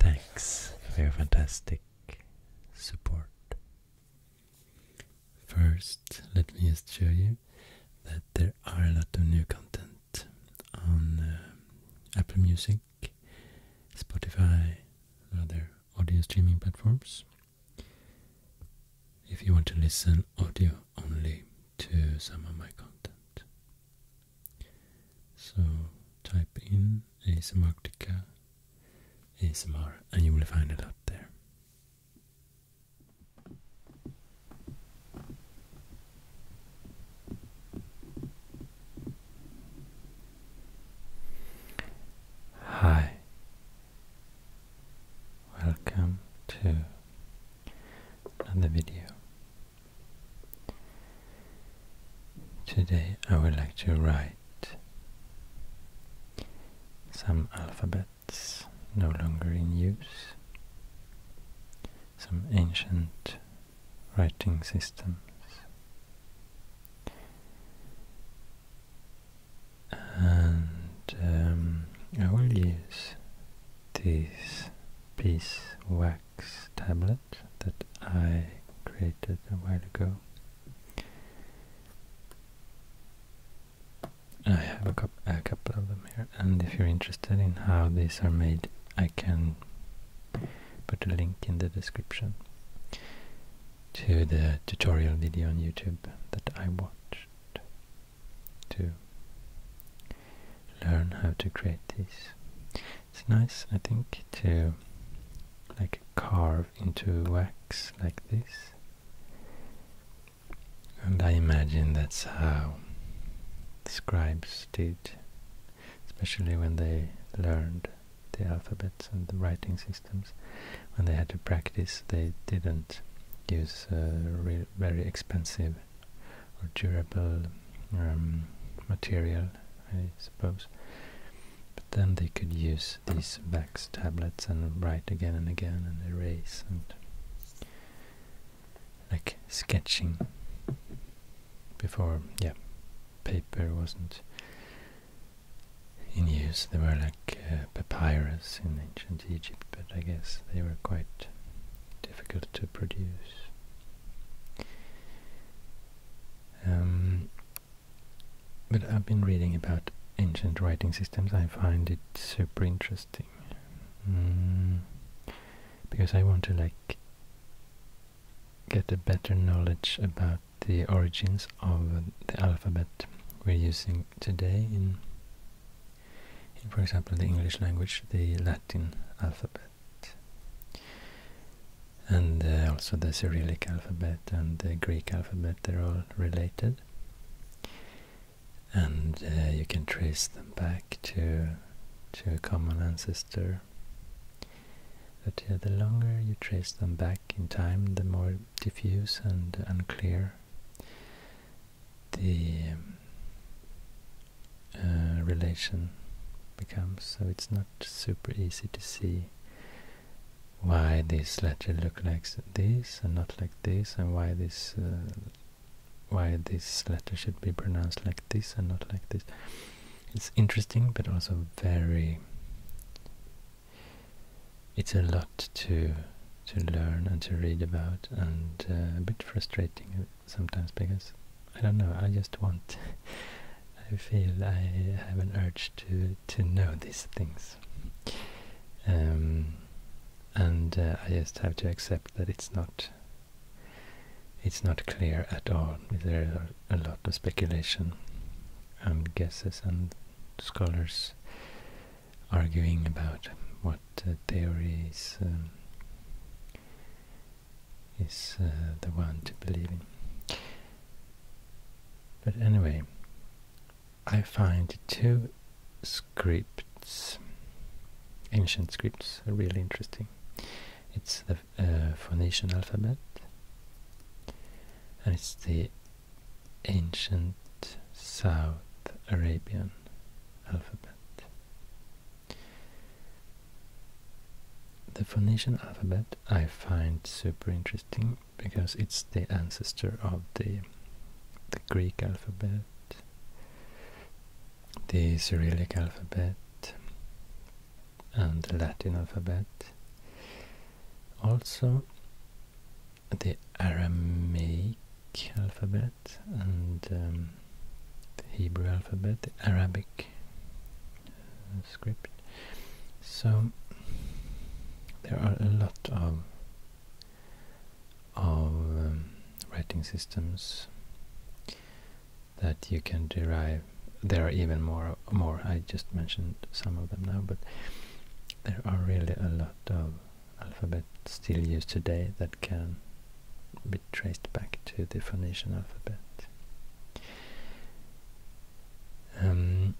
Thanks for fantastic support. First, let me just show you that there are a lot of new content on um, Apple Music, Spotify, other audio streaming platforms. If you want to listen audio only to some of my content, so type in ASMRtica ASMR and you will find a lot there. Hi. Welcome to another video. Today I would like to write some alphabets no longer in use, some ancient writing systems. And um, I will use this piece wax tablet that I created a while ago. I have a couple of them here, and if you're interested in how these are made, I can put a link in the description to the tutorial video on YouTube that I watched to learn how to create these. It's nice, I think, to like carve into wax like this. And I imagine that's how scribes did, especially when they learned the alphabets and the writing systems. When they had to practice, they didn't use very expensive or durable um, material, I suppose then they could use these wax tablets and write again and again and erase and like sketching before, yeah, paper wasn't in use. There were like uh, papyrus in ancient Egypt, but I guess they were quite difficult to produce. Um, but I've been reading about ancient writing systems. I find it super interesting. Mm. because I want to like get a better knowledge about the origins of the alphabet we're using today in for example, the English language, the Latin alphabet and uh, also the Cyrillic alphabet and the Greek alphabet, they're all related. And uh, you can trace them back to, to a common ancestor. But the longer you trace them back in time, the more diffuse and unclear the uh, relation becomes. So it's not super easy to see why this letter look like this and not like this and why this uh, why this letter should be pronounced like this and not like this it's interesting but also very it's a lot to to learn and to read about and uh, a bit frustrating sometimes because I don't know I just want I feel I have an urge to to know these things. Um, and uh, I just have to accept that it's not it's not clear at all. There are a lot of speculation and guesses and scholars arguing about what uh, theory is, um, is uh, the one to believe in. But anyway, I find two scripts, ancient scripts, really interesting. It's the uh, Phoenician alphabet, and it's the ancient South Arabian alphabet. The Phoenician alphabet I find super interesting because it's the ancestor of the, Greek alphabet, the Cyrillic alphabet, and the Latin alphabet. Also, the Aramaic alphabet and um, the Hebrew alphabet, the Arabic script. So there are a lot of um, writing systems that you can derive. There are even more. More. I just mentioned some of them now, but there are really a lot of alphabets still used today that can be traced back to the Phoenician alphabet. Um,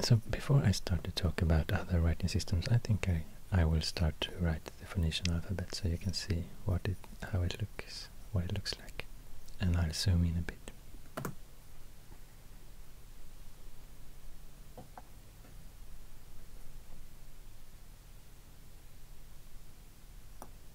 so before I start to talk about other writing systems, I think I, I will start to write the Phoenician alphabet so you can see what it how it looks what it looks like, and I'll zoom in a bit.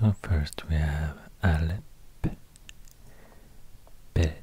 So first we have Alep, Bet,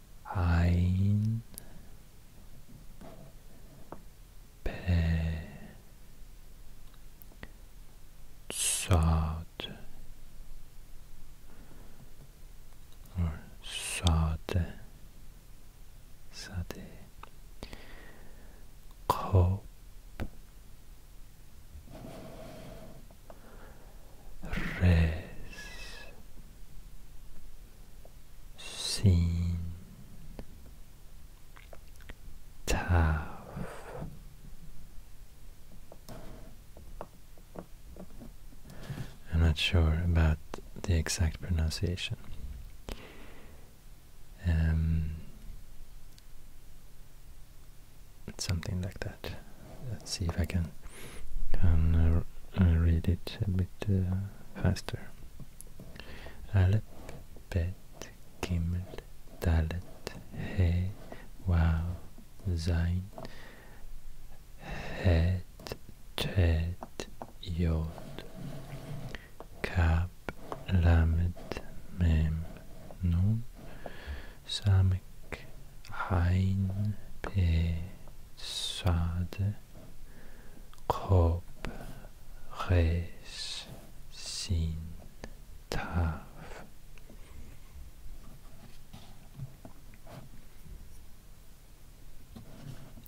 ein bezahlt or sade sade Hope res seen tough I'm not sure about the exact pronunciation um, something like that let's see if I can and uh, uh, read it a bit uh, faster. Aleph, Bet, Gimel, Dalet, He, Wow, Zain, Het, Tet, Yod, Kab, Lamed, Mem, Nun, Samek, Hein, Pe, sad. Rob,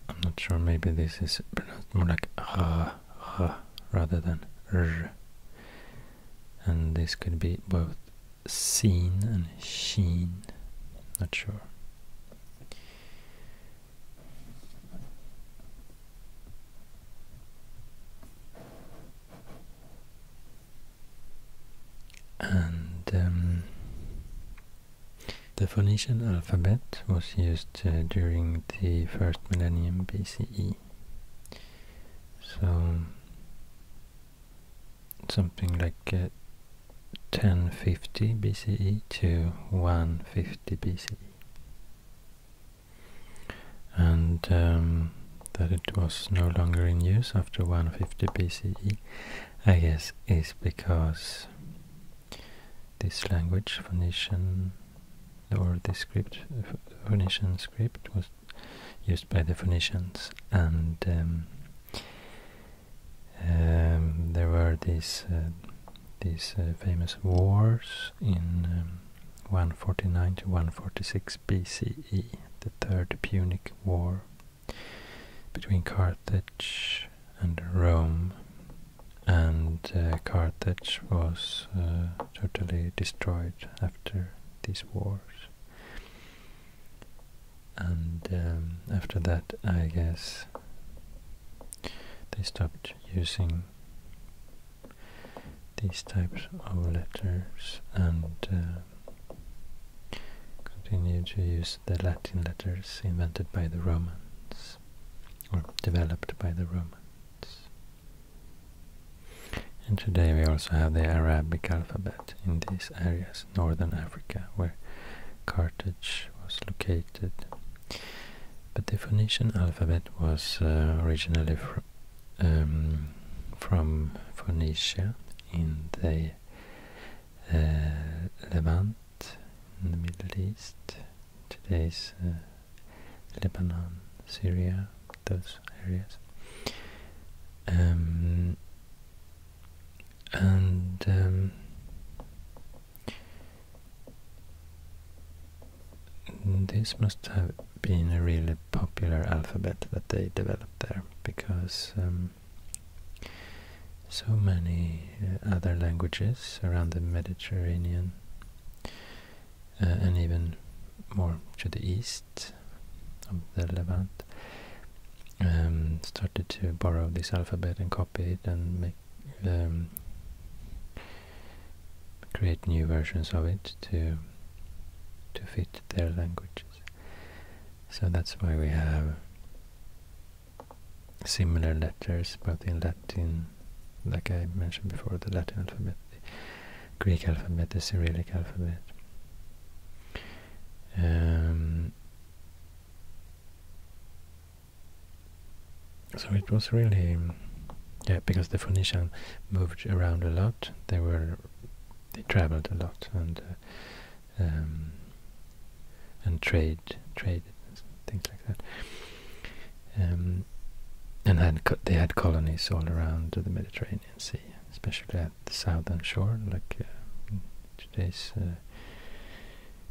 I'm not sure, maybe this is more like R rather than R. And this could be both seen and sheen, not sure. And um, the Phoenician alphabet was used uh, during the first millennium BCE. So something like uh, 1050 BCE to 150 BCE and um, that it was no longer in use after 150 BCE I guess is because this language Phoenician or this script Phoenician script was used by the Phoenicians and um, um, there were these uh, these uh, famous wars in um, 149 to 146 BCE, the Third Punic War between Carthage and Rome, and uh, Carthage was totally destroyed after these wars and um, after that I guess they stopped using these types of letters and uh, continued to use the Latin letters invented by the Romans or developed by the Romans. And today we also have the Arabic alphabet in these areas, northern Africa, where Carthage was located. But the Phoenician alphabet was uh, originally fr um, from Phoenicia in the uh, Levant, in the Middle East, today's uh, Lebanon, Syria, those areas. Um, and um, this must have been a really popular alphabet that they developed there because um, so many uh, other languages around the Mediterranean uh, and even more to the east of the Levant um, started to borrow this alphabet and copy it and make um, create new versions of it to to fit their languages. So that's why we have similar letters both in Latin, like I mentioned before, the Latin alphabet, the Greek alphabet, the Cyrillic alphabet. Um, so it was really, yeah, because the Phoenicians moved around a lot. They were, they traveled a lot and uh, um, and trade, trade things like that. Um, and had they had colonies all around the Mediterranean Sea, especially at the southern shore, like uh, today's uh,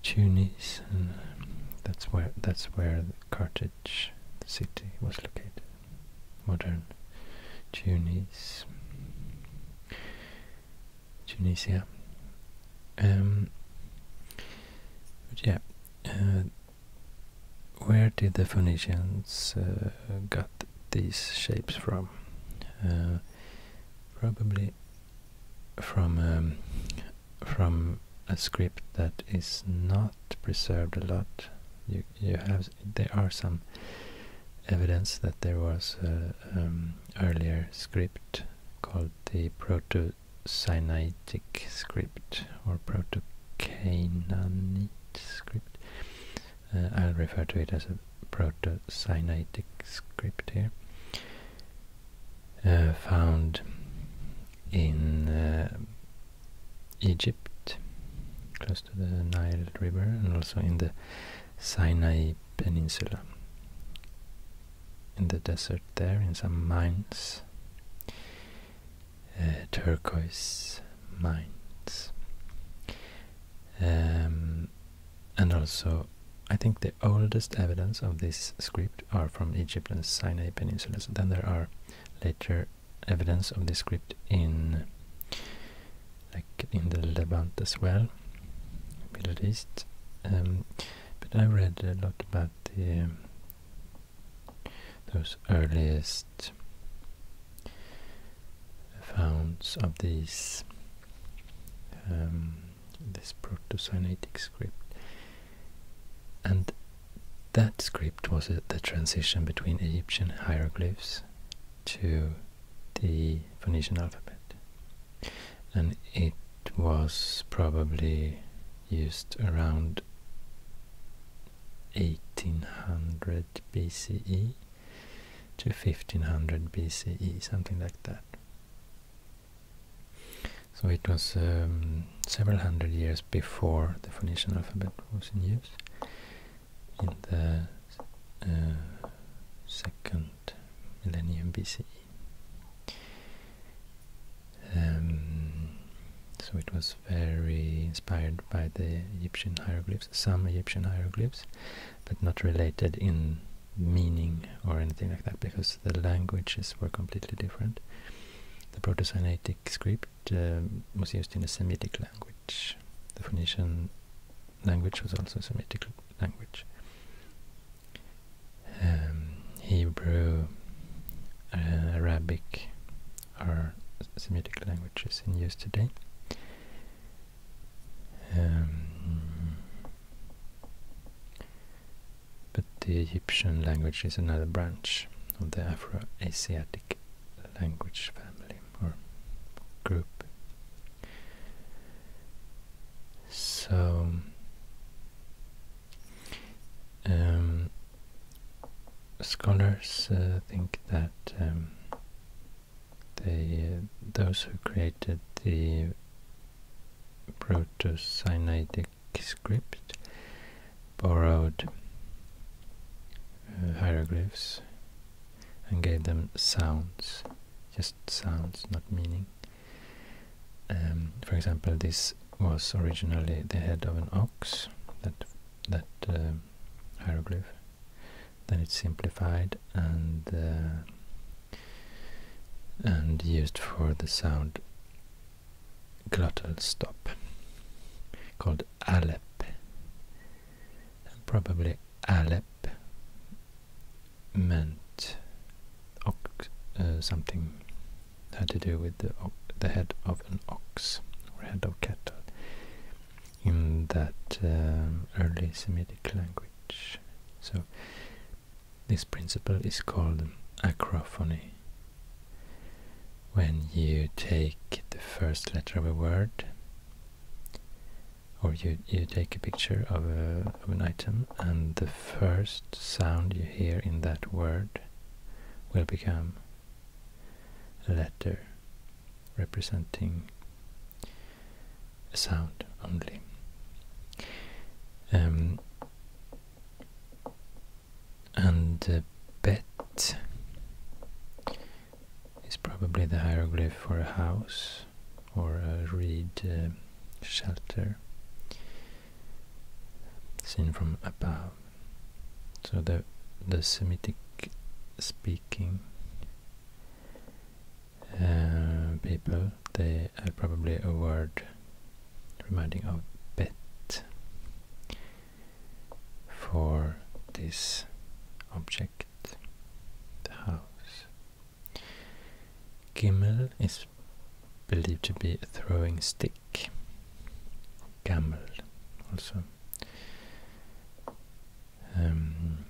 Tunis, and um, that's where that's where Carthage the city was located. Modern Tunis, Tunisia. Um, yeah, uh, where did the Phoenicians uh, got these shapes from? Uh, probably from um, from a script that is not preserved a lot. You you have there are some evidence that there was an um, earlier script called the Proto Sinaitic script or Proto Canaanite script. Uh, I'll refer to it as a Proto Sinaitic script here. Uh, found in uh, Egypt, close to the Nile River, and also in the Sinai Peninsula, in the desert there, in some mines, uh, turquoise mines. Um, and also, I think that oldest evidence of this script are from Egypt and Sinai peninsulas. Then there are later evidence of this script in like in the Levant as well, Middle East. Um, but I read a lot about the those earliest finds of these um, this proto-Sinaitic script. And that script was the transition between Egyptian hieroglyphs to the Phoenician alphabet. And it was probably used around 1800 BCE to 1500 BCE, something like that. So it was um, several hundred years before the Phoenician alphabet was in use in the uh, second millennium BC. Um, so it was very inspired by the Egyptian hieroglyphs, some Egyptian hieroglyphs, but not related in meaning or anything like that because the languages were completely different. The Proto-Sinaitic script um, was used in a Semitic language. The Phoenician language was also a Semitic language. Um, Hebrew, uh, Arabic are Semitic languages in use today. Um, but the Egyptian language is another branch of the Afro-Asiatic language family or group. So, um, scholars uh, think that um, uh, those who created the Proto-Sinaitic script borrowed uh, hieroglyphs and gave them sounds, just sounds, not meaning. Um, for example, this was originally the head of an ox, that that uh, hieroglyph. Then it's simplified and uh, and used for the sound glottal stop called Alep and probably Alep meant ox, uh, something had to do with the, the head of an ox or head of cattle in that um, early Semitic language so this principle is called acrophony. When you take the first letter of a word, or you, you take a picture of, a, of an item and the first sound you hear in that word will become a letter representing sound only. Um, and uh, bet is probably the hieroglyph for a house or a reed uh, shelter seen from above. So the the Semitic speaking uh, people, they are probably a word reminding of bet for this object, the house. Gimmel is believed to be a throwing stick, gamble also. Um,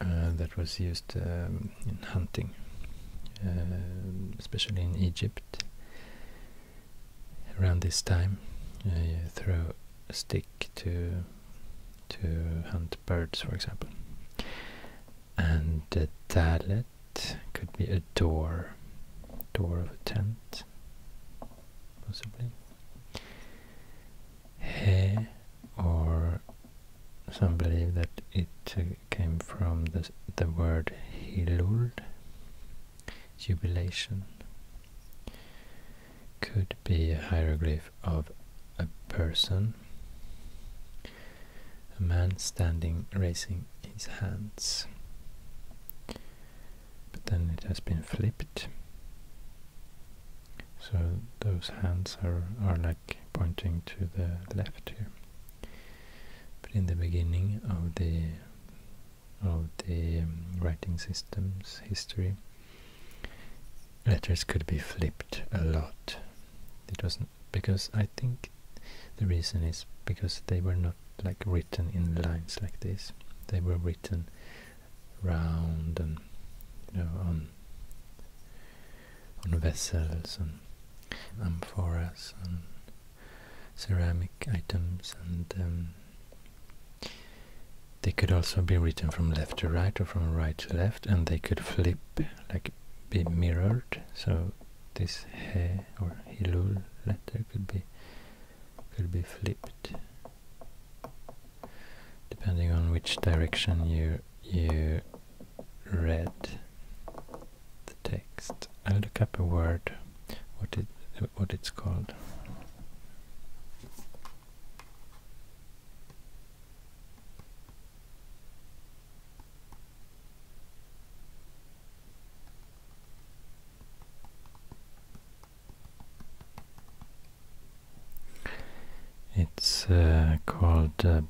uh, that was used um, in hunting, um, especially in Egypt around this time. Uh, throw a stick to to hunt birds, for example. And the dalet could be a door, door of a tent, possibly. He or some believe that it uh, came from the, the word Hilul, jubilation. Could be a hieroglyph of a person, a man standing raising his hands. But then it has been flipped so those hands are, are like pointing to the left here. But in the beginning of the of the um, writing system's history, letters could be flipped a lot. It was because I think the reason is because they were not like written in lines like this. They were written round and you know on on vessels and amphoras and ceramic items and um, they could also be written from left to right or from right to left and they could flip like be mirrored so this he or hilul letter could be could be flipped depending on which direction you you read the text. I'll look up a word, what it what it's called. It's uh, called uh,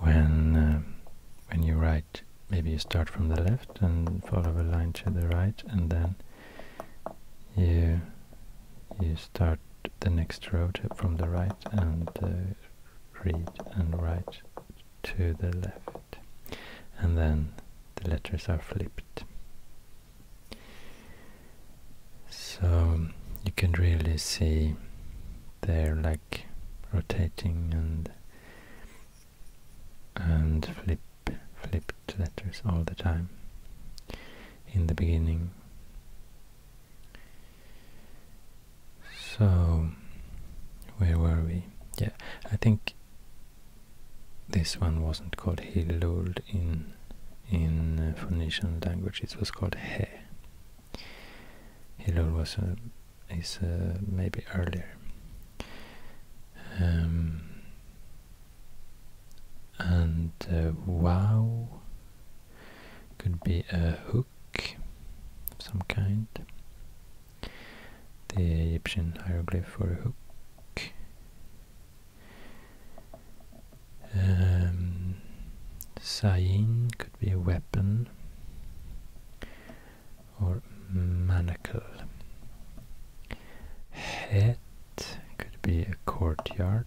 When um, when you write, maybe you start from the left and follow a line to the right, and then you you start the next row from the right and uh, read and write to the left, and then the letters are flipped. So you can really see they're like rotating and and flip flipped letters all the time in the beginning. So where were we? Yeah, I think this one wasn't called Hilul in in uh, Phoenician language. It was called He. Hilul was is uh, maybe earlier. Um, and uh, wow could be a hook of some kind. The Egyptian hieroglyph for a hook. Um, could be a weapon or manacle. Head could be a courtyard,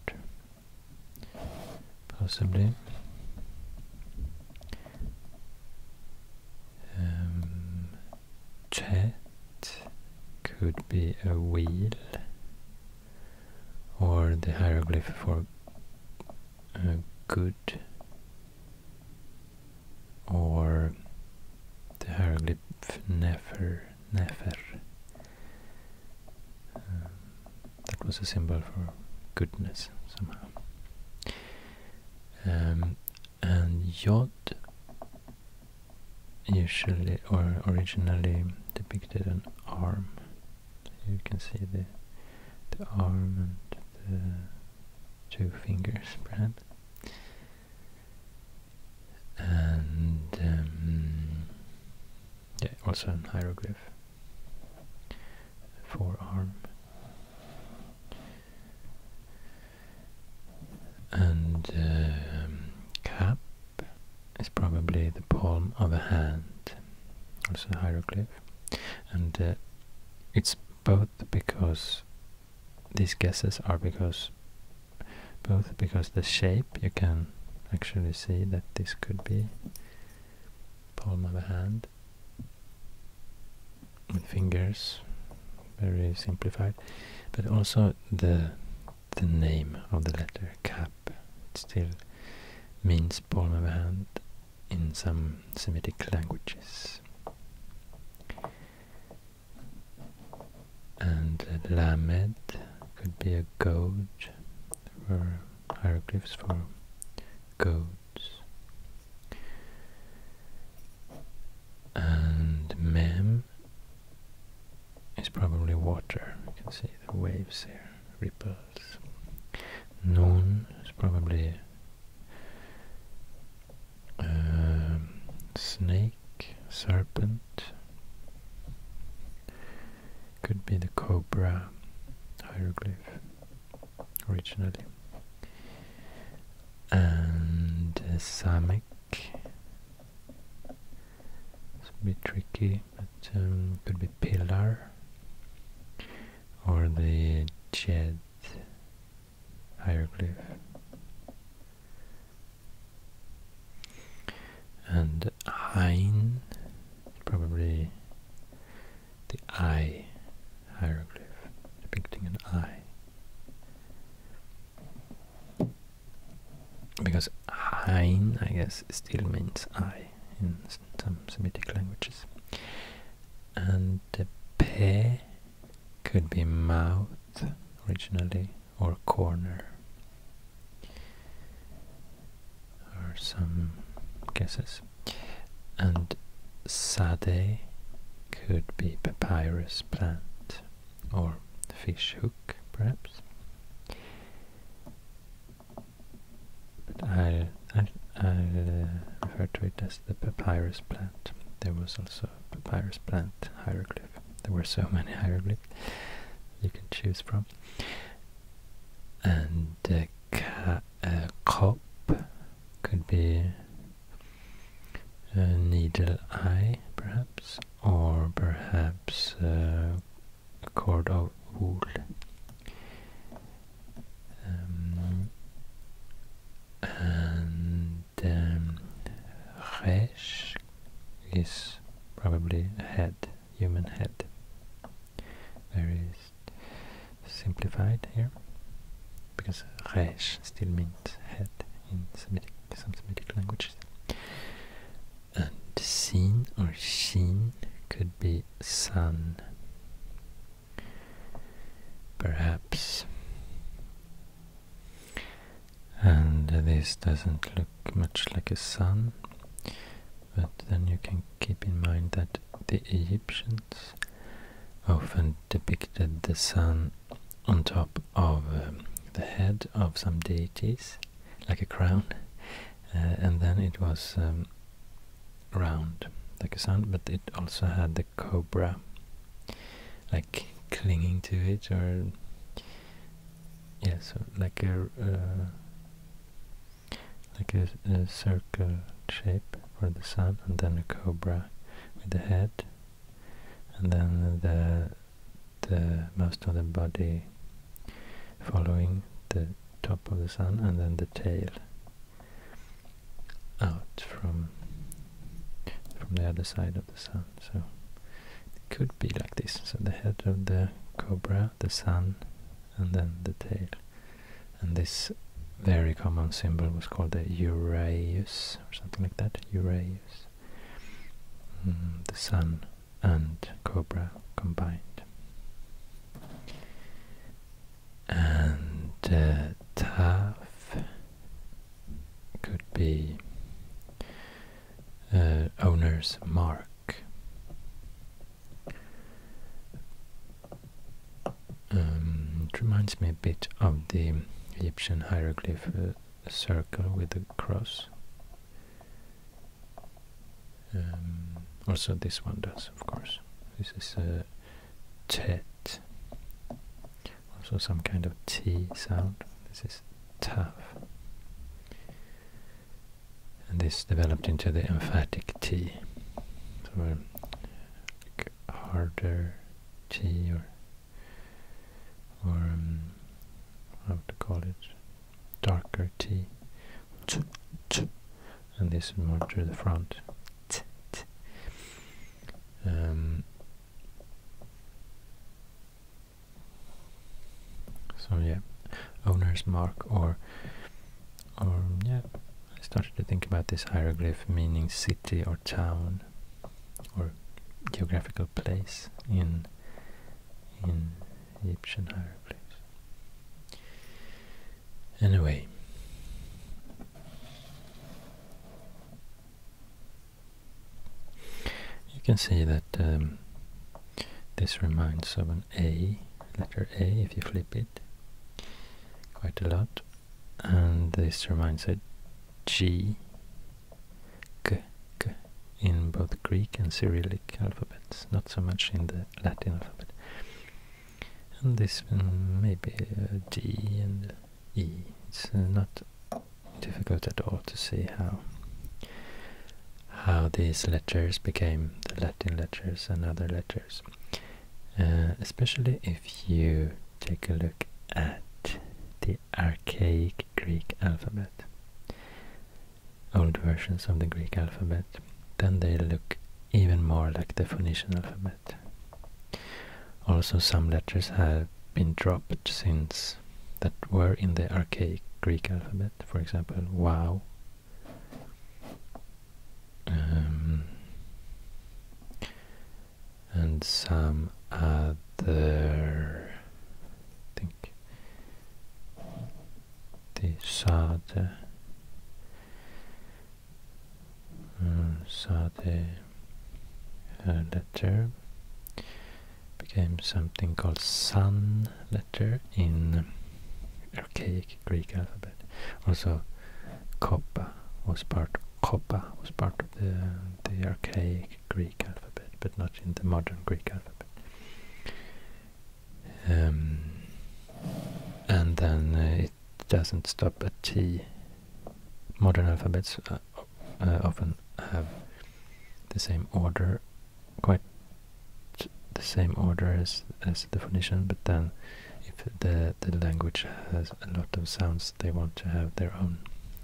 possibly. Um, chair could be a wheel or the hieroglyph for good or the hieroglyph nefer nefer um, that was a symbol for goodness somehow um, and yod usually or originally depicted an arm. you can see the the arm and the two fingers, spread, And um, yeah, also an hieroglyph, forearm. And um, cap is probably the palm of a hand, also a hieroglyph. And uh, it's both because these guesses are because both because the shape you can actually see that this could be palm of a hand with fingers very simplified but also the the name of the letter Cap. still means palm of a hand in some Semitic languages. And Lamet could be a goat, or hieroglyphs for goats. And Mem it's probably water. You can see the waves here, ripples. Noon is probably um, snake, serpent. Could be the cobra hieroglyph originally. And uh, it's a bit tricky, but um, could be pillar or the jet hieroglyph. And eye, probably the eye hieroglyph, depicting an eye because Hein, I guess, still means eye in some Semitic languages. And the Pe could be mouth originally, or corner, or some guesses. And Sade could be papyrus plant or fish hook perhaps. But I'll, i I'll refer to it as the papyrus plant. There was also a papyrus plant hieroglyph. There were so many hieroglyphs you can choose from. And uh, ca cop could be a needle eye, perhaps or perhaps uh, a cord of wool. Um, and um, resh is probably head, human head. Very simplified here, because resh still means head in some Semitic languages. And sin or sheen could be sun. Perhaps. And this doesn't look much like a sun, but then you can keep in mind that the Egyptians often depicted the sun on top of um, the head of some deities like a crown, uh, and then it was um, round like a sun. but it also had the cobra like clinging to it, or yeah, so like a uh, like a circle shape for the sun, and then a cobra with the head, and then the the most of the body following the top of the sun and then the tail out from from the other side of the sun so it could be like this so the head of the cobra the sun and then the tail and this very common symbol was called the Uraeus or something like that Uraeus mm, the sun and Cobra combined. And uh, TAF could be uh, owner's mark. Um, it reminds me a bit of the Egyptian hieroglyph uh, circle with the cross. Um, also this one does, of course. This is a uh, Also some kind of T sound. This is tav. And this developed into the emphatic T. So a uh, like harder T or, or um, how to call it, darker T, and this is more to the front. Um, so yeah, owner's mark or or yeah, I started to think about this hieroglyph meaning city or town or geographical place in in Egyptian hieroglyphs. Anyway, you can see that um, this reminds of an A, letter A if you flip it quite a lot, and this reminds a G k, k in both Greek and Cyrillic alphabets, not so much in the Latin alphabet. And this um, maybe a uh, D and E. It's uh, not difficult at all to see how how these letters became the Latin letters and other letters. Uh, especially if you take a look at the archaic Greek alphabet old versions of the Greek alphabet, then they look even more like the Phoenician alphabet. Also some letters have been dropped since that were in the archaic Greek alphabet, for example, wow. Um, and some other, I the mm, Sade uh, letter became something called Sun letter in archaic Greek alphabet. Also, Kappa was part Kappa was part of the the archaic Greek alphabet, but not in the modern Greek alphabet. Um, and then uh, it doesn't stop at T. Modern alphabets uh, uh, often have the same order, quite the same order as, as the phonician, but then if the, the language has a lot of sounds they want to have their own,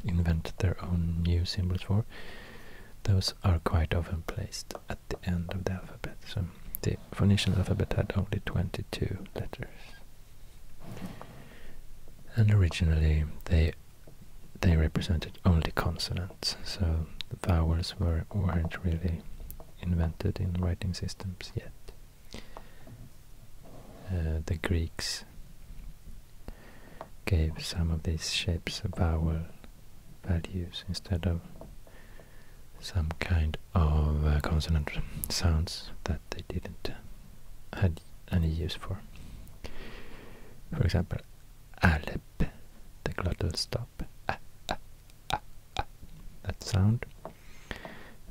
invent their own new symbols for those are quite often placed at the end of the alphabet. So the Phoenician alphabet had only 22 letters. And originally they they represented only consonants, so vowels were, weren't really invented in writing systems yet. Uh, the Greeks gave some of these shapes vowel values instead of some kind of uh, consonant sounds that they didn't uh, had any use for. For example, Alep, the glottal stop, that sound.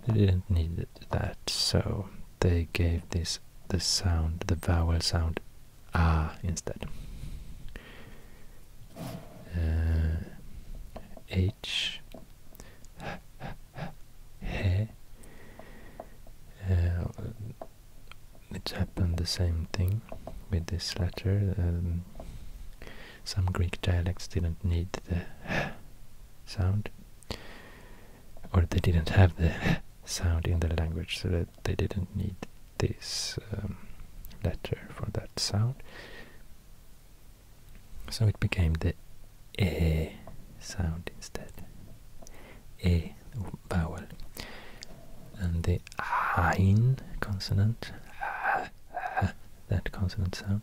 They didn't need that, so they gave this the sound, the vowel sound ah instead. Uh, H he. Uh, it happened the same thing with this letter. Um, some Greek dialects didn't need the sound, or they didn't have the sound in their language, so that they didn't need this um, letter for that sound. So it became the a sound instead. a vowel. And the ein consonant, that consonant sound,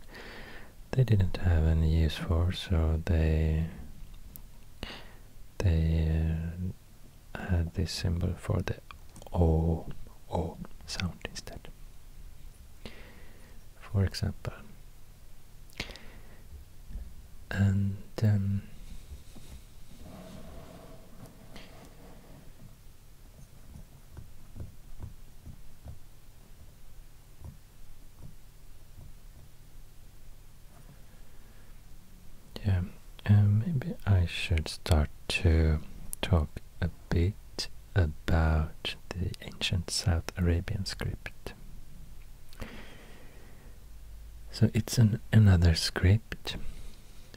they didn't have any use for, so they they add uh, this symbol for the O, O sound instead. For example. And yeah, um, maybe I should start to talk a bit about the ancient South Arabian script. So it's an another script,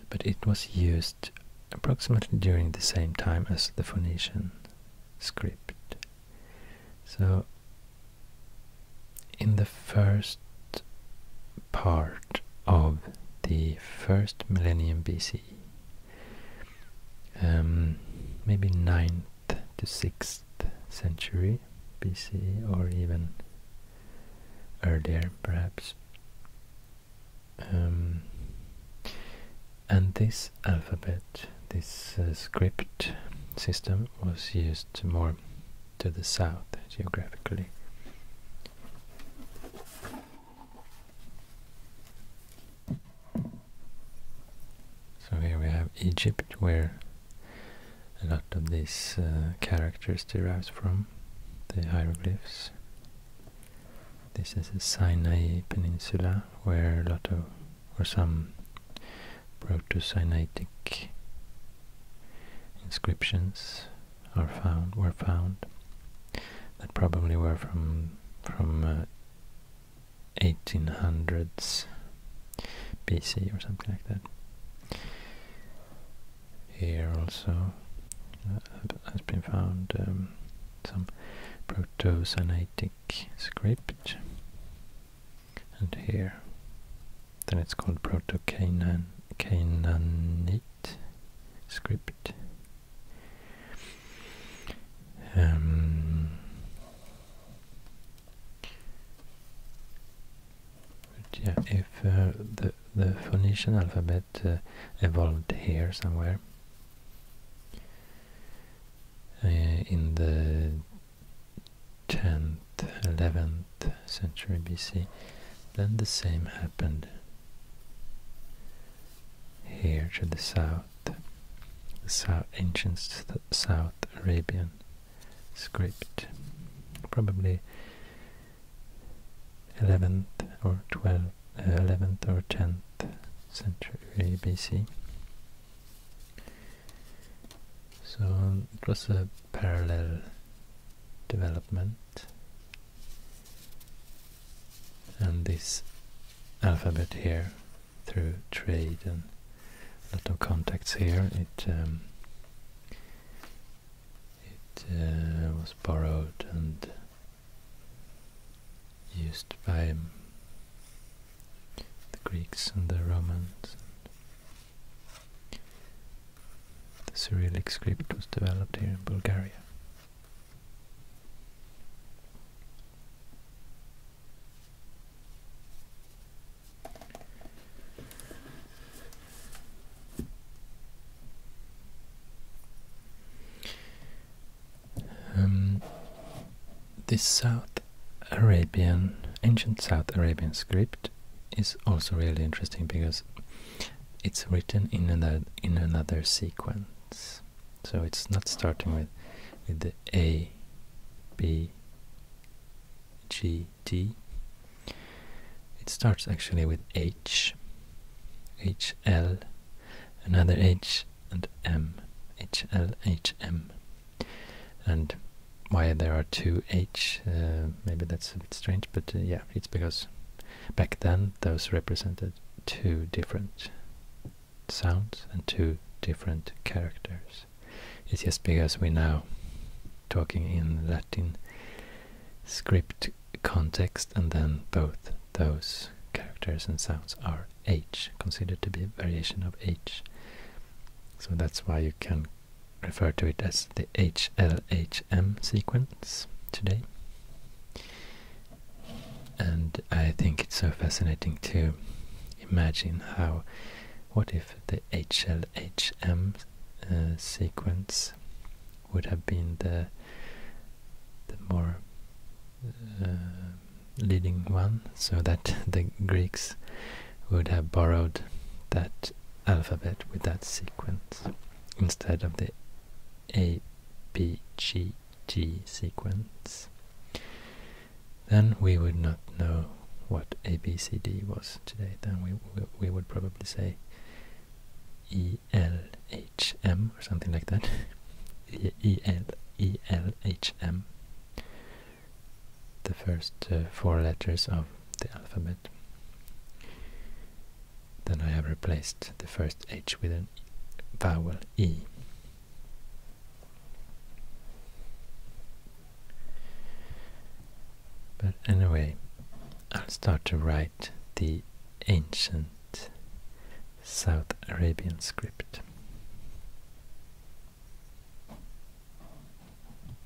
but it was used approximately during the same time as the Phoenician script. So in the first part of the first millennium BC, um, maybe 9th to 6th century BC, or even earlier perhaps. Um, and this alphabet, this uh, script system was used more to the south geographically. So here we have Egypt, where a lot of these uh, characters derives from, the hieroglyphs. This is the Sinai Peninsula, where a lot of, or some proto-Sinaitic inscriptions are found were found that probably were from from 1800s uh, BC or something like that. Here also uh, has been found um, some proto-Sinaitic script and here then it's called Proto-Canaanite script. Um, yeah, if uh, the the Phoenician alphabet uh, evolved here somewhere uh, in the 10th 11th century BC, then the same happened here to the south, the south, ancient South Arabian script, probably 11th or 12th, uh, 11th or 10th century BC. So it was a parallel development and this alphabet here through trade and a lot of contacts here it um, it uh, was borrowed and used by um, the Greeks and the Romans the Cyrillic script was developed here in Bulgaria. Um, this South Arabian, ancient South Arabian script is also really interesting because it's written in another in another sequence. So it's not starting with with the A, B, G, D. It starts actually with H, H, L, another H, and M, H, L, H, M. And why there are two H, uh, maybe that's a bit strange, but uh, yeah, it's because back then those represented two different sounds and two different characters. It's just because we're now talking in Latin script context and then both those characters and sounds are H, considered to be a variation of H. So that's why you can refer to it as the HLHM sequence today. And I think it's so fascinating to imagine how, what if the HLHM uh, sequence would have been the the more uh, leading one, so that the Greeks would have borrowed that alphabet with that sequence instead of the A B C G sequence, then we would not know what ABCD was today. Then we, we, would probably say ELHM or something like that. E L E L H M. The first uh, four letters of the alphabet. Then I have replaced the first H with an vowel E. But anyway, I'll start to write the ancient South Arabian script.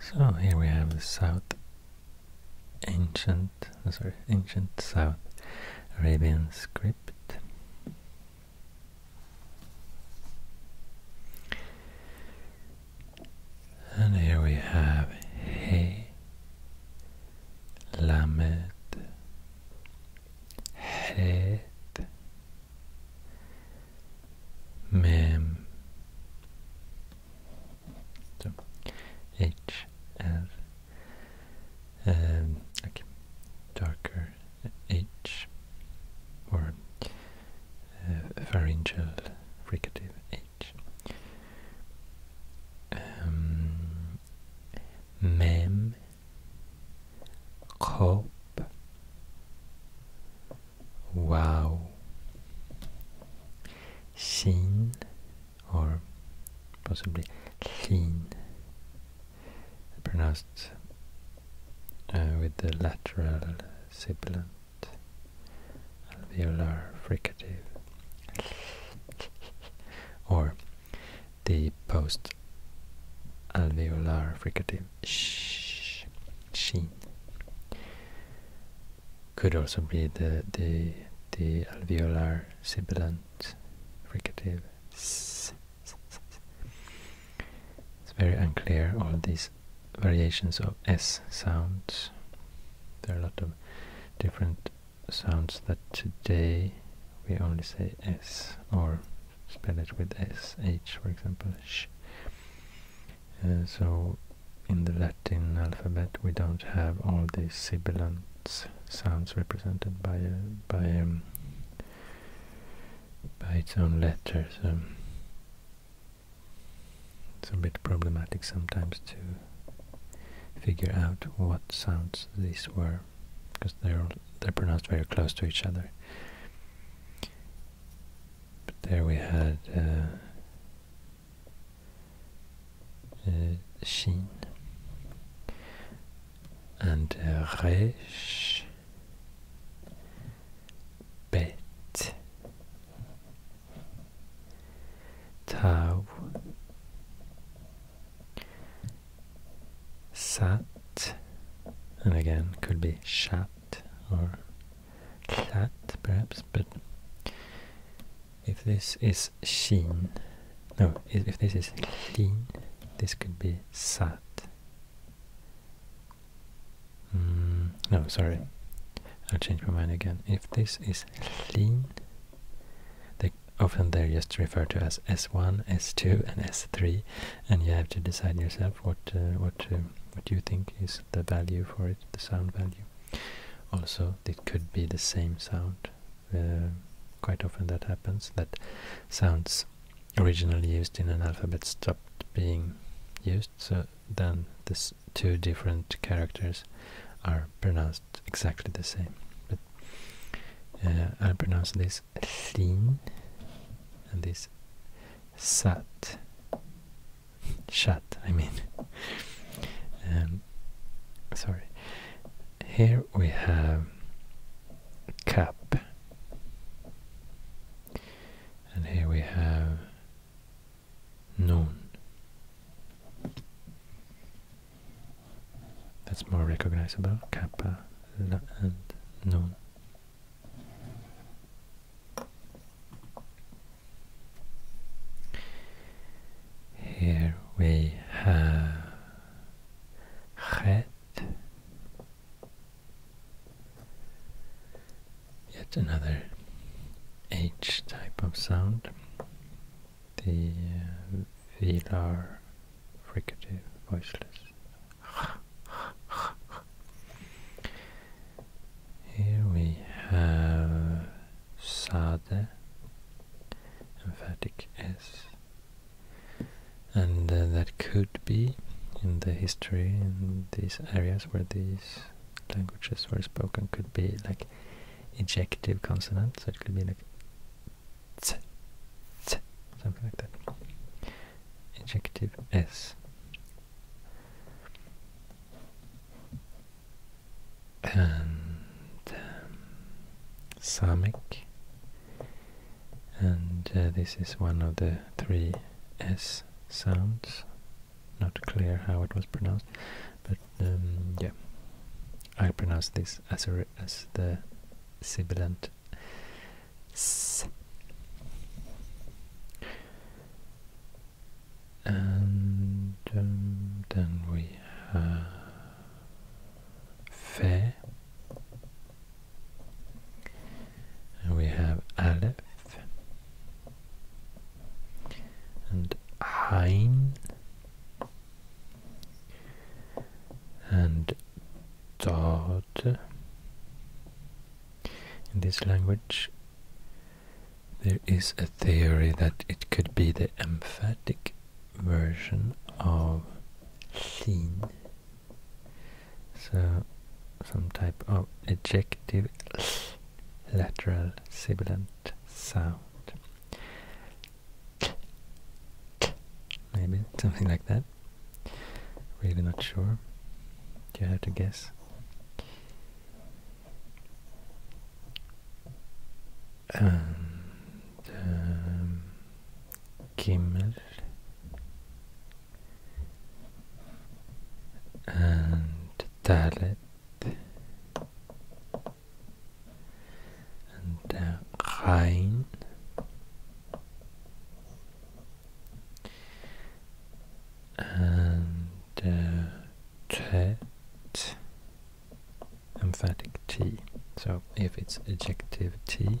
So here we have the South ancient, sorry, ancient South Arabian script. And here we have He, Lamed, Het, Mem, so um, okay, darker H or pharyngeal fricative H. Um, wow, shin or possibly shin pronounced uh, with the lateral sibilant alveolar fricative or the post alveolar fricative sh sheen could also be the the the alveolar sibilant fricative s it's very unclear, all these variations of S sounds. There are a lot of different sounds that today we only say S or spell it with SH, for example, uh, so in the Latin alphabet we don't have all these sibilant sounds represented by a, uh, by um, by its own letters, um, it's a bit problematic sometimes to figure out what sounds these were, because they're they're pronounced very close to each other. But there we had uh, uh, Shin and uh, Resh bet tau sat and again could be chat or clat perhaps but if this is sheen no if this is clean this could be sat Mm, no, sorry. I'll change my mind again. If this is lean, they often they're just referred to as S1, S2, and S3, and you have to decide yourself what uh, what uh, what you think is the value for it, the sound value. Also, it could be the same sound. Uh, quite often that happens. That sounds originally used in an alphabet stopped being used, so then these two different characters are pronounced exactly the same. But uh, I'll pronounce this thin and this sat, Shut. I mean. Um, sorry. Here we have cap and here we have noon. That's more recognizable, kappa la and known. Here we have chet Yet another H type of sound, the uh, velar fricative voiceless. Here we have sade, emphatic s, and uh, that could be in the history in these areas where these languages were spoken could be like ejective consonants, so it could be like t, t, something like that. Ejective s. And um, Samic and uh, this is one of the three S sounds. Not clear how it was pronounced, but um, yeah, I pronounce this as, a, as the sibilant S. And um, then we have fe, and we have Aleph and Ain and Dod. In this language, there is a theory that it could be the emphatic version of Sin so some type of ejective lateral sibilant sound. Maybe something like that. Really not sure. you have to guess? And um, Kimmel and Dalit and the, uh, Rhein and the, uh, Tet emphatic T so if it's adjective T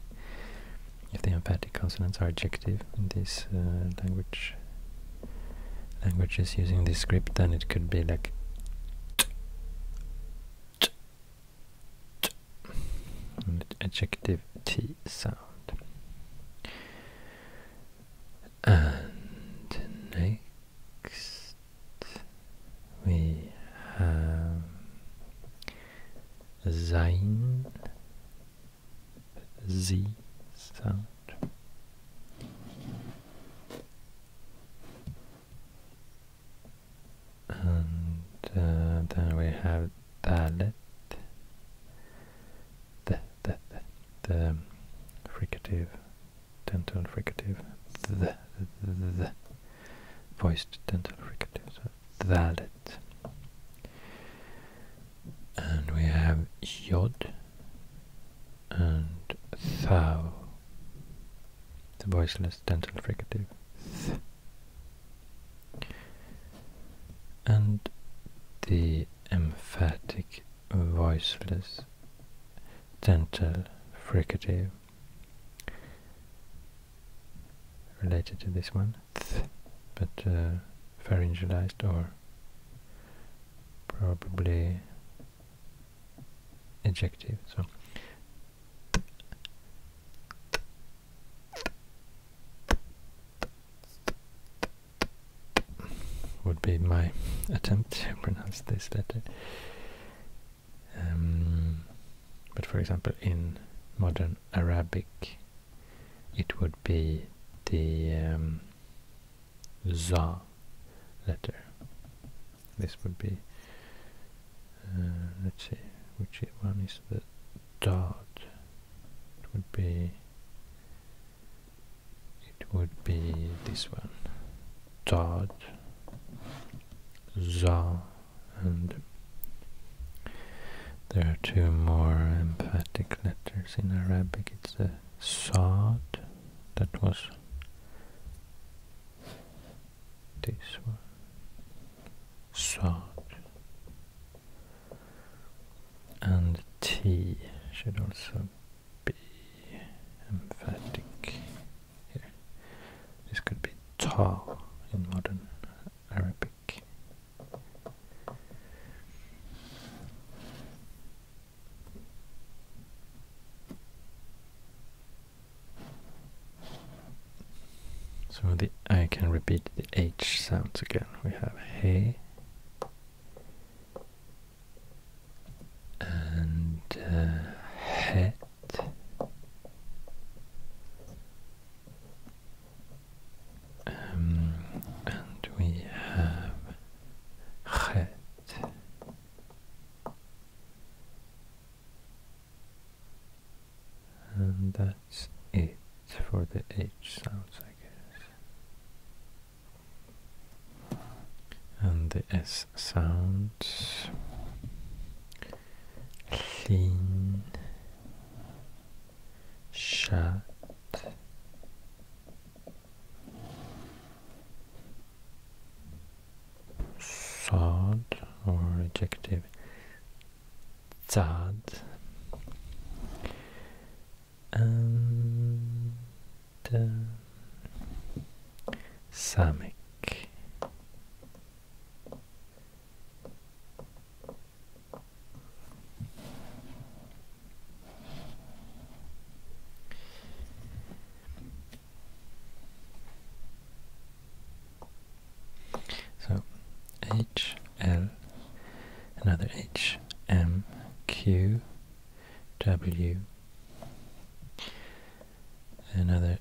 if the emphatic consonants are adjective in these uh, language languages using this script, then it could be like an adjective T sound. And next we have sein Z sound. And uh, then we have dalet, the, the, the, fricative, dental fricative, the, the, the, voiced dental fricative. So valid. And we have Yod and Thou, the voiceless dental fricative Th. And the emphatic voiceless dental fricative related to this one but pharyngealized uh, or probably adjective. So. would be my attempt to pronounce this letter. Um, but for example, in modern Arabic, it would be the um, za letter. This would be, uh, let's see, which one is the dot? It would be, it would be this one, dot, za, and there are two more emphatic letters in Arabic. It's the Saad that was this one. Saad. And T should also be emphatic here. This could be Ta in modern Arabic. So the I can repeat the H sounds again. We have hey and uh, het um, and we have خد and that's it for the H sounds I guess and the S sounds clean shut sod or adjective zad and uh, Samik. So H L another H M Q W another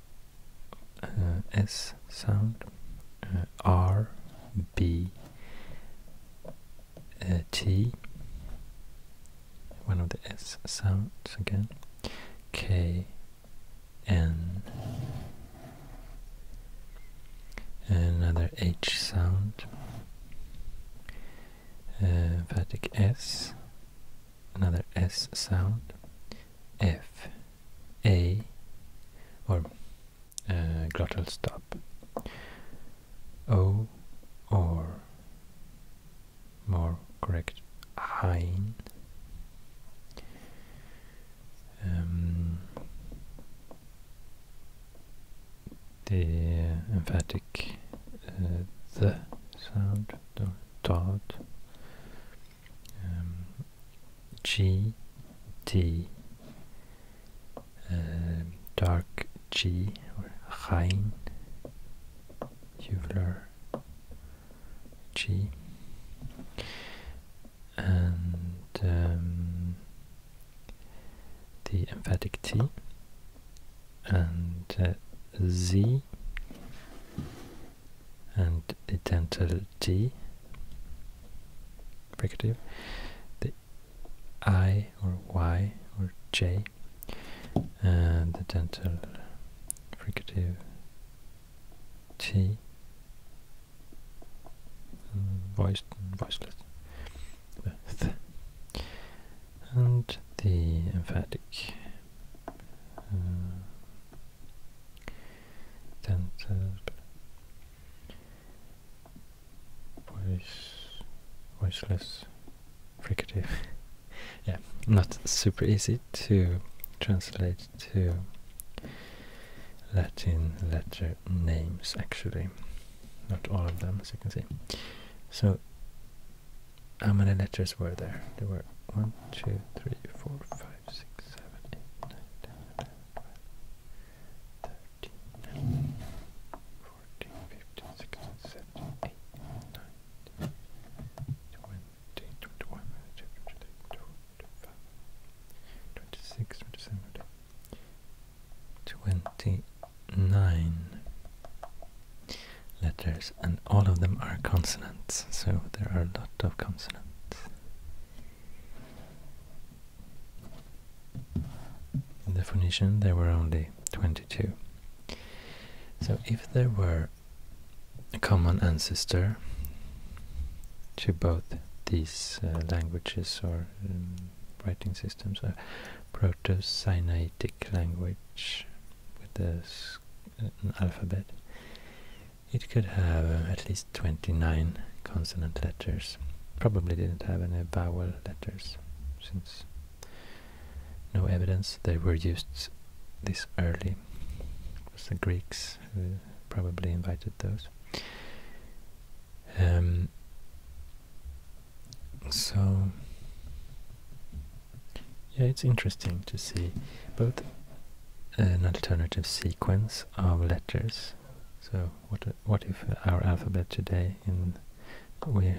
uh, S sound uh, R B uh, T, one of the S sounds again, K, N, another H sound, uh, emphatic S, another S sound, F, A, or uh, glottal stop. O oh, or more correct ein. Um, the emphatic uh, the sound, the dot, G, T, uh, dark G or Chain Euler G and um, the emphatic T and uh, Z and the dental T fricative, the I or Y or J, and the dental fricative T, mm, voiced and voiceless, th, and the emphatic uh, dental voice, voiceless fricative. yeah, not super easy to translate to Latin letter names actually. Not all of them, as you can see. So, how many letters were there? There were 1, 14, 15, 16, 17, 18, 19, 20, 21, 22, 23, 24, 26, 27, 29 letters and all of them are consonants so there are a lot of consonants in the Phoenician there were only 22. So if there were a common ancestor to both these uh, languages or um, writing systems, a proto-Sinaitic language with this uh, alphabet, it could have uh, at least 29 consonant letters. Probably didn't have any vowel letters since no evidence they were used this early. It was the Greeks who probably invited those. Um, so, yeah, it's interesting to see both an alternative sequence of letters, so what what if our alphabet today in we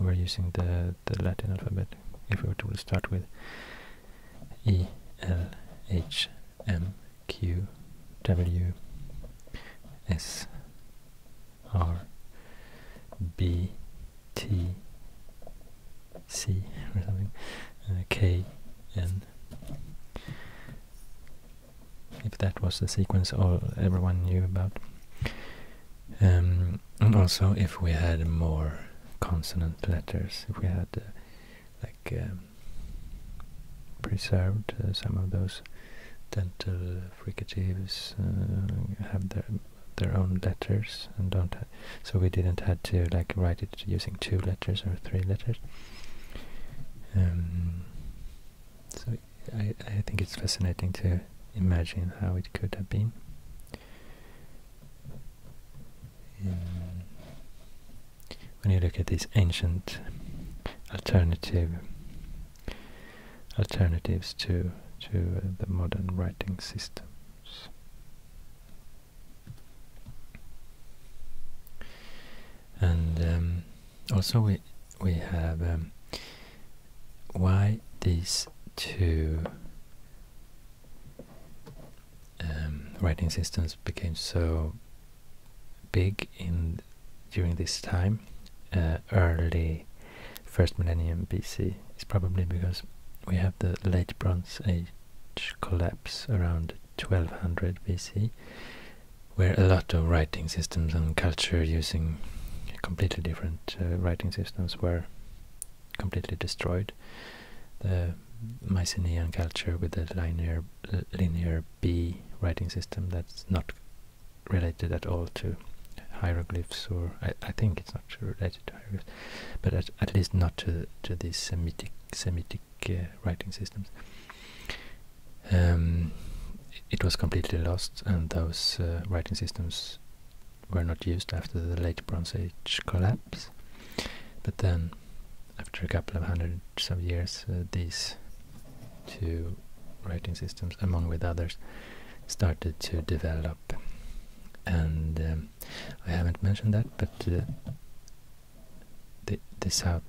were using the the Latin alphabet if we were to start with E L H M Q W S R B T C or something uh, K N if that was the sequence all everyone knew about. Um, and also if we had more consonant letters, if we had uh, like um, preserved uh, some of those dental fricatives uh, have their their own letters and don't so we didn't had to like write it using two letters or three letters um, so I, I think it's fascinating to imagine how it could have been. Um, when you look at these ancient alternative alternatives to to uh, the modern writing systems. And um, also we we have um, why these two um, writing systems became so big in during this time uh, early first millennium BC is probably because we have the late Bronze Age collapse around 1200 BC where a lot of writing systems and culture using completely different uh, writing systems were completely destroyed. The Mycenaean culture with the linear linear B writing system that's not related at all to hieroglyphs, or I, think it's not related to hieroglyphs, but at, least not to to these Semitic Semitic writing systems. Um, it was completely lost, and those uh, writing systems were not used after the late Bronze Age collapse. But then, after a couple of hundreds of years, uh, these two writing systems, among with others, started to develop. And um, I haven't mentioned that, but uh, the, the South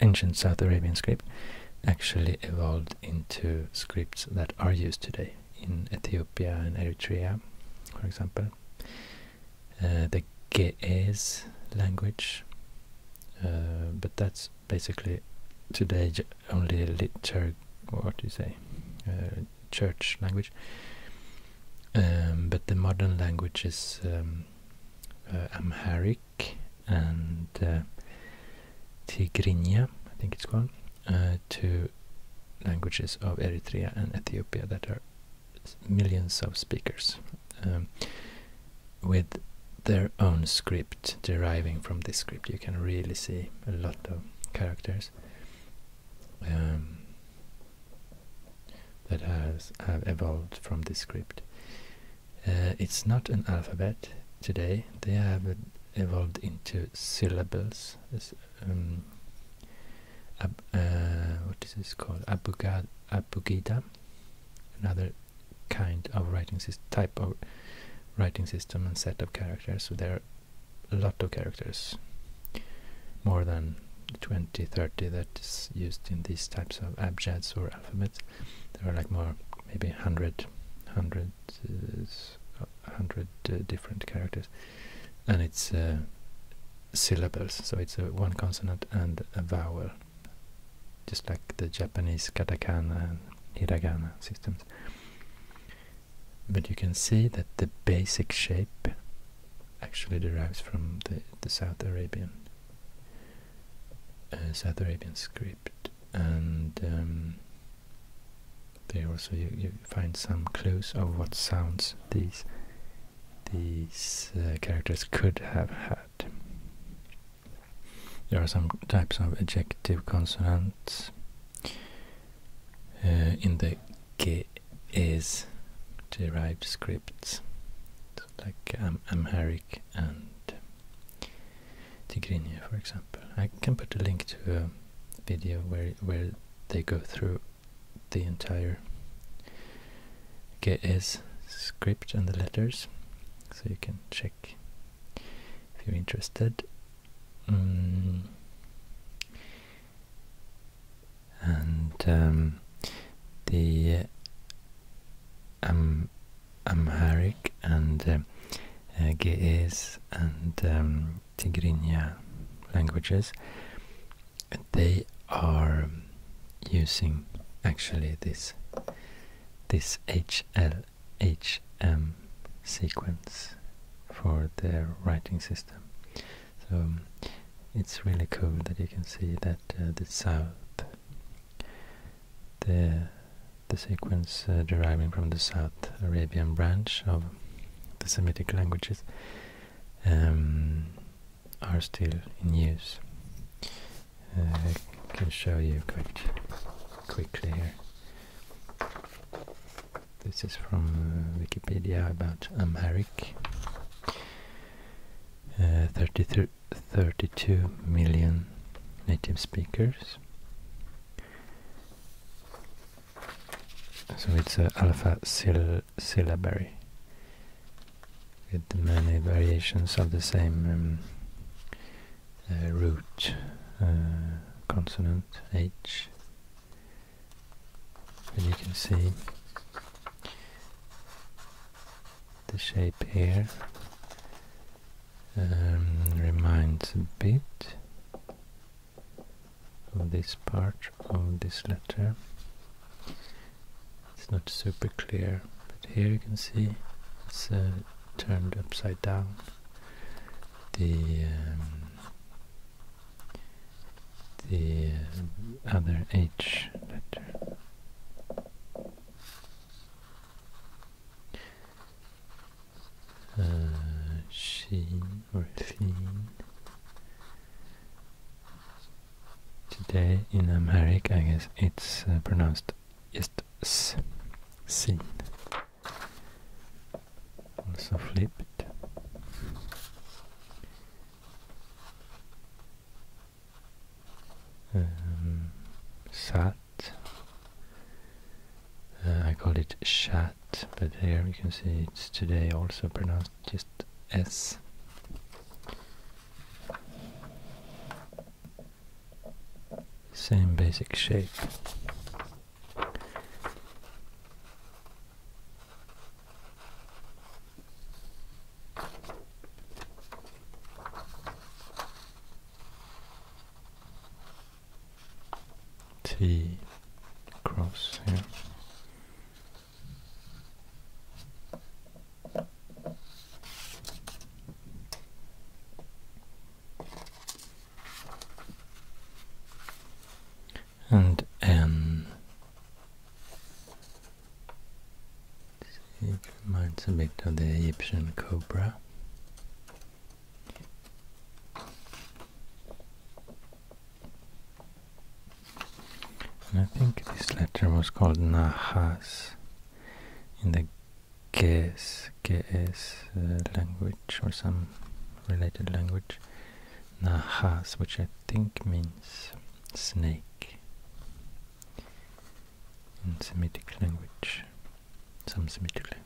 ancient South Arabian script actually evolved into scripts that are used today in Ethiopia and Eritrea, for example. Uh, the Ge'ez language, uh, but that's basically today only a liturg, what do you say, uh, church language. Um, but the modern language is um, Amharic and uh, Tigrinya, I think it's called, uh, two languages of Eritrea and Ethiopia that are millions of speakers um, with their own script deriving from this script. You can really see a lot of characters um, that have evolved from this script. Uh, it's not an alphabet today. They have evolved into syllables. Um, uh, what is this called? abugida. Another kind of writing system, type of writing system and set of characters. So there are a lot of characters, more than twenty, thirty that is used in these types of abjads or alphabets. There are like more, maybe 100, 100, uh, different characters. And it's uh, syllables, so it's one consonant and a vowel. Just like the Japanese katakana and hiragana systems. But you can see that the basic shape actually derives from the South Arabian uh, Arabian script, and um, there also you, find some clues of what sounds these these uh, characters could have had. There are some types of adjective consonants uh, in the ge is derived scripts, like m um, Amharic. Eric and Tigrinya, for example. I can put a link to a video where where they go through the entire GS script and the letters, so you can check if you're interested. Mm. And um, the Amharic and uh, uh Ge'ez and um, Tigrinya languages, they are using actually this this HLHM sequence for their writing system. So it's really cool that you can see that uh, the south the the sequence uh, deriving from the South Arabian branch of the Semitic languages um, are still in use. Uh, I can show you quite quickly here. This is from uh, Wikipedia about Amharic. 33, 32 million native speakers. So it's an alpha syl syllabary with many variations of the same um, uh, root uh, consonant H. And you can see the shape here um, reminds a bit of this part of this letter. It's not super clear, but here you can see it's uh, turned upside down. The um, the uh, other H letter uh, or sheen. Today in America, I guess it's uh, pronounced just s, seen. Also flipped um, uh, I call it chat, but here you can see it's today also pronounced just S. Same basic shape. T cross here. and N it reminds a bit of the Egyptian cobra. I think this letter was called Nahas in the Ges, Ges uh, language or some related language. Nahas, which I think means snake in Semitic language, some Semitic language.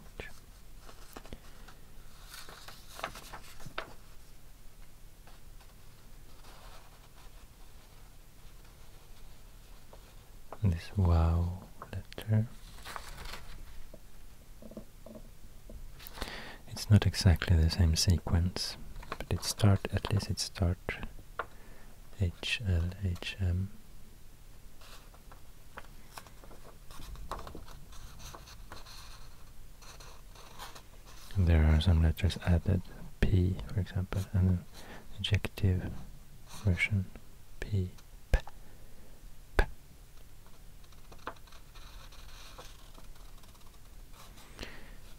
This wow letter. It's not exactly the same sequence, but it start at least it start HLHM. there are some letters added, P for example, and an adjective version, P. P, P.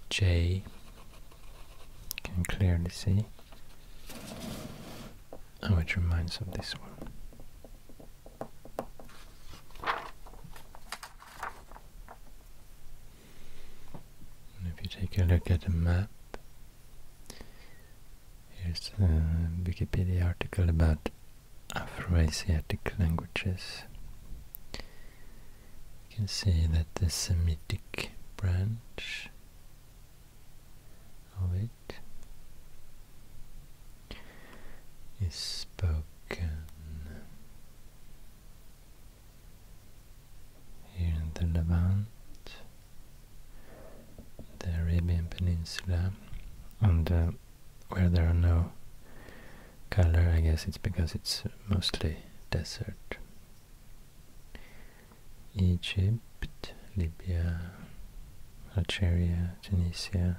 J can clearly see how oh, it reminds of this one. if you take a look at the map, here's a uh, Wikipedia article about Afro-Asiatic languages. You can see that the Semitic branch of it is spoken here in the Levant, the Arabian Peninsula, and uh, where there are no color, I guess it's because it's mostly desert. Egypt, Libya, Algeria, Tunisia,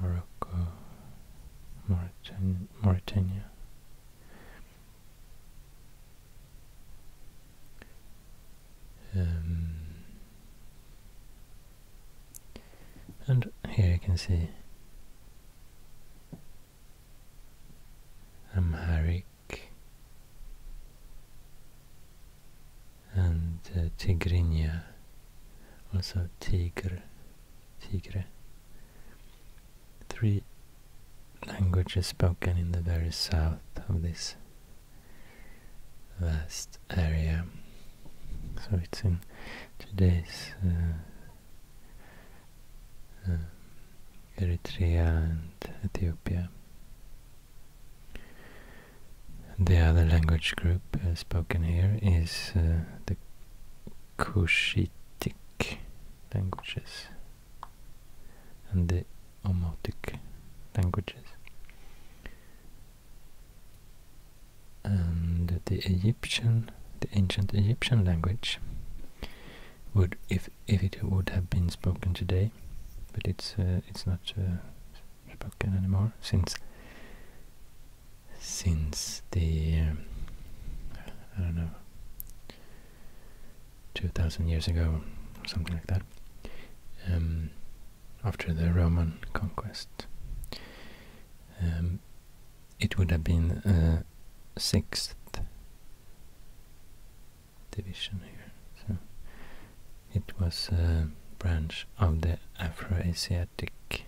Morocco, Mauritania. Um, and here you can see Amharic, and uh, Tigrinya, also Tigre, Tigre. Three languages spoken in the very south of this vast area. So it's in today's uh, Eh, Eritrea and Ethiopia. The other language group eh, spoken here is eh, the Cushitic languages and the Omotic languages. And the Egyptian, the ancient Egyptian language would if if it would have been spoken today, but it's uh, it's not uh, spoken anymore since since the um, I don't know two thousand years ago or something like that um, after the Roman conquest. Um, it would have been uh, sixth division here. So it was a branch of the Afro-Asiatic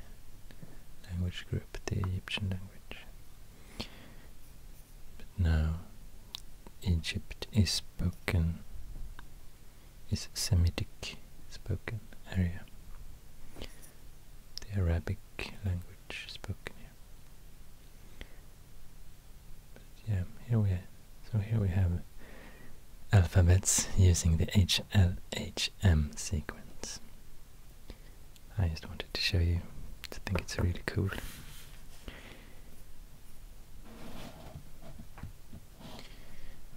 language group, the Egyptian language. But now Egypt is spoken, is Semitic spoken area, the Arabic language yeah, here we so here we have alphabets using the HLHM sequence. I just wanted to show you. I think it's really cool.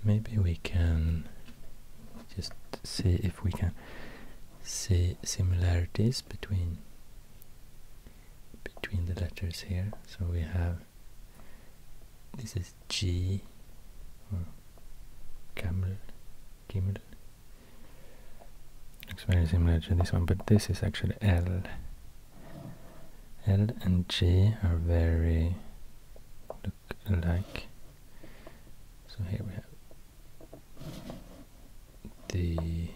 Maybe we can just see if we can see similarities between between the letters here. So we have this is G camel, camel, Looks very similar to this one, but this is actually L. L and G are very look alike. So here we have the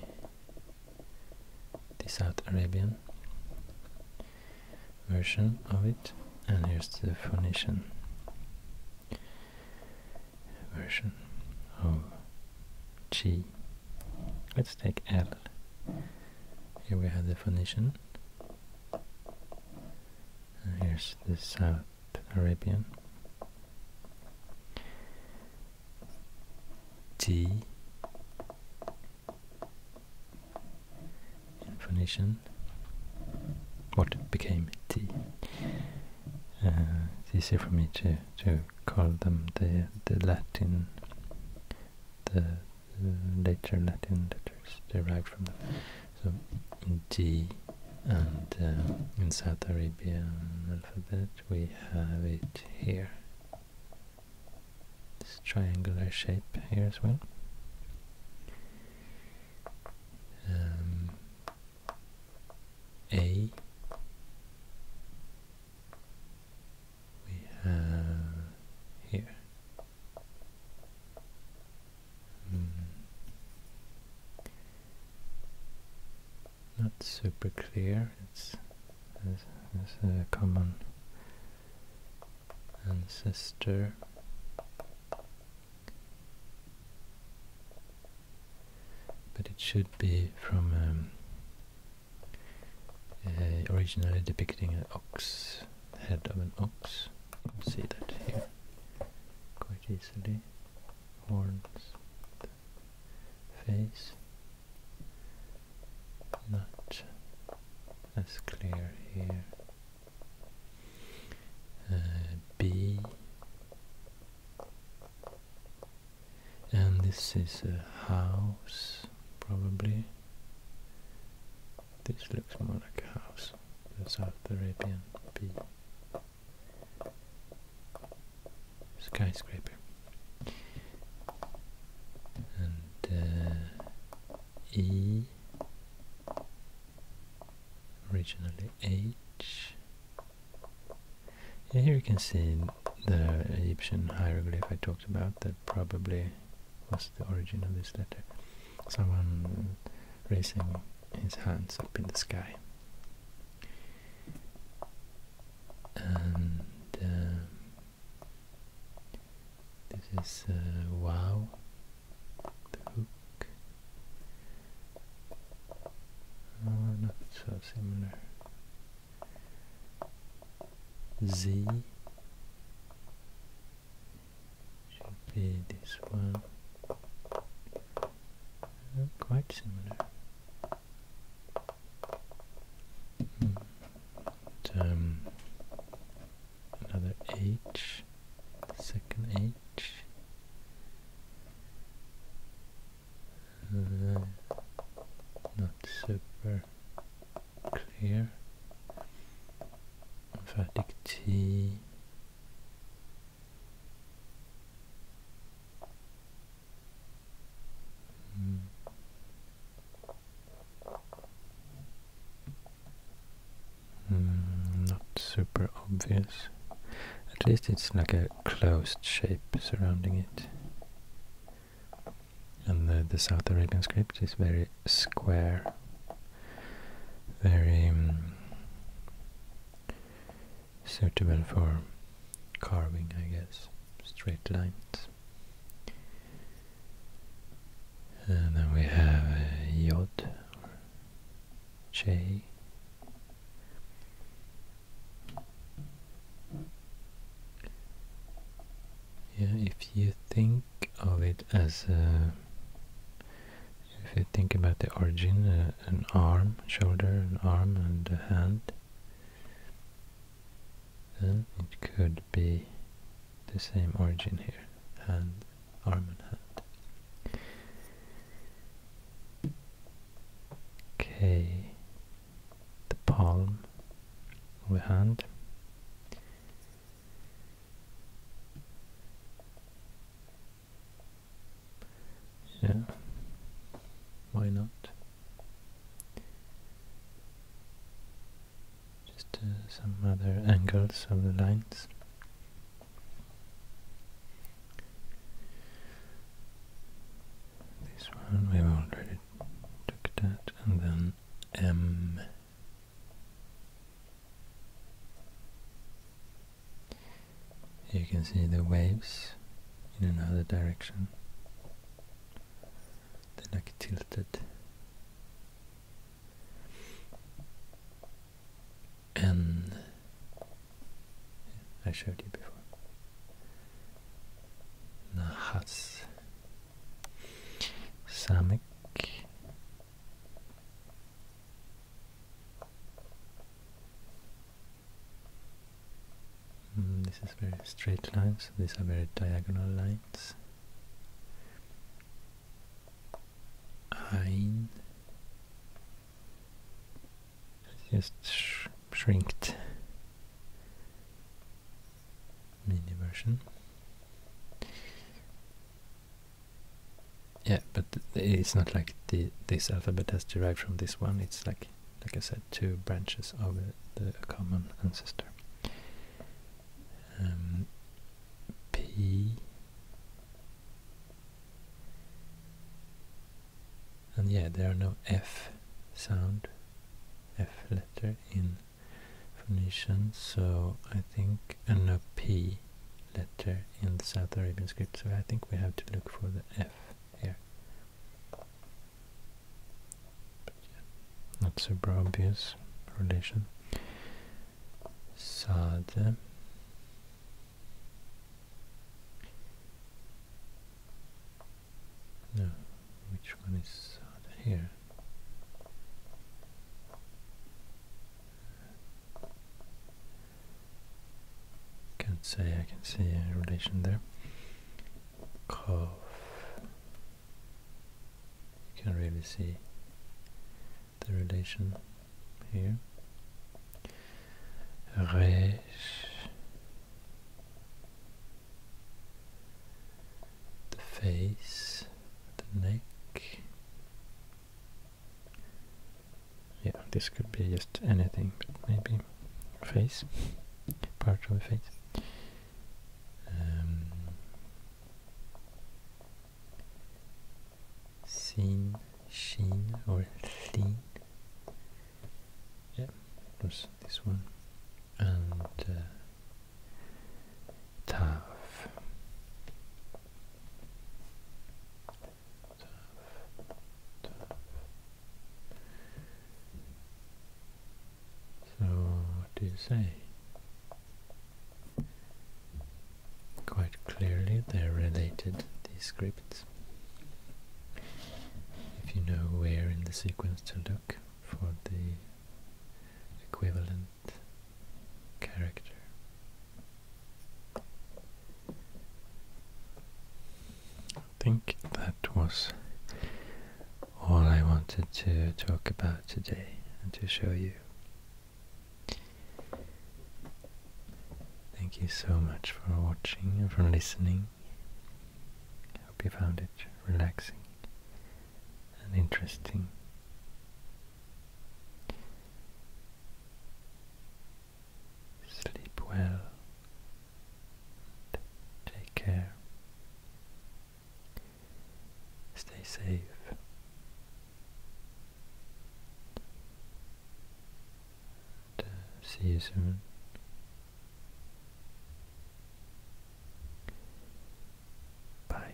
the South Arabian version of it and here's the Phoenician version of Chi. Let's take L. Here we have the Phoenician and here's the South Arabian. T in Phoenician. What became T? Uh, it's for me to to call them the the Latin, the later Latin letters derived from them. So T and uh, in Saudi Arabian alphabet we have it here this triangular shape here as well um, A we have here hmm not super clear. It's, a common ancestor. But it should be from um, originally depicting an ox, head of an ox. You can see that here quite easily. Horns face not as clear here uh, B and this is a house probably this looks more like a house the South Arabian B skyscraper and uh, E originally H here you can see the Egyptian hieroglyph I talked about that probably was the origin of this letter someone raising his hands up in the sky and um, this is uh, wow the hook oh, not so similar Z should be this one. Oh, quite similar um, another H, second H. Uh, not super clear. Emphatic T. Mm. Mm, not super obvious. At least it's like a closed shape surrounding it. And the, the South Arabian script is very square, very hmm, suitable for carving, I guess, straight lines. And then we have uh, Yod J. Yeah, if you think of it as if you think about the origin uh, an arm, shoulder, an arm and a hand. Then it could be the same origin here, hand, arm and hand. Okay, the palm of the hand. Yeah, why not? Just uh, some other angles of the lines. This one we've already took that, and then M. You can see the waves in another direction. They're like tilted. And I showed you before. Nahas. Samek Mm, this is very straight lines, these are very diagonal lines. I Just sh shrinked mini version. Yeah, but it's not like this alphabet has derived from this one. It's like like I said, two branches of the, common ancestor. Um, P and yeah, there are no F sound, F letter in Phoenician, so I think, and no P letter in the South Arabian script, so I think we have to look for the F here. But yeah, not super obvious relation. Sad. No, which one is Sade here? Can say I can see a relation there. Cough. You can really see the relation here. Reich. The face, the neck yeah, this could be just anything, maybe face, part of a face. Um, seen, or seen. Yeah, there's this one. And uh, so, what do you say? Quite clearly they're related, these scripts. If you know where in the sequence to look for the equivalent character. I think that was all I wanted to talk about today and to show you. Thank you so much for watching and for listening. I hope you found it relaxing and interesting. Sleep well take care. Stay safe. Uh, see you soon. Bye.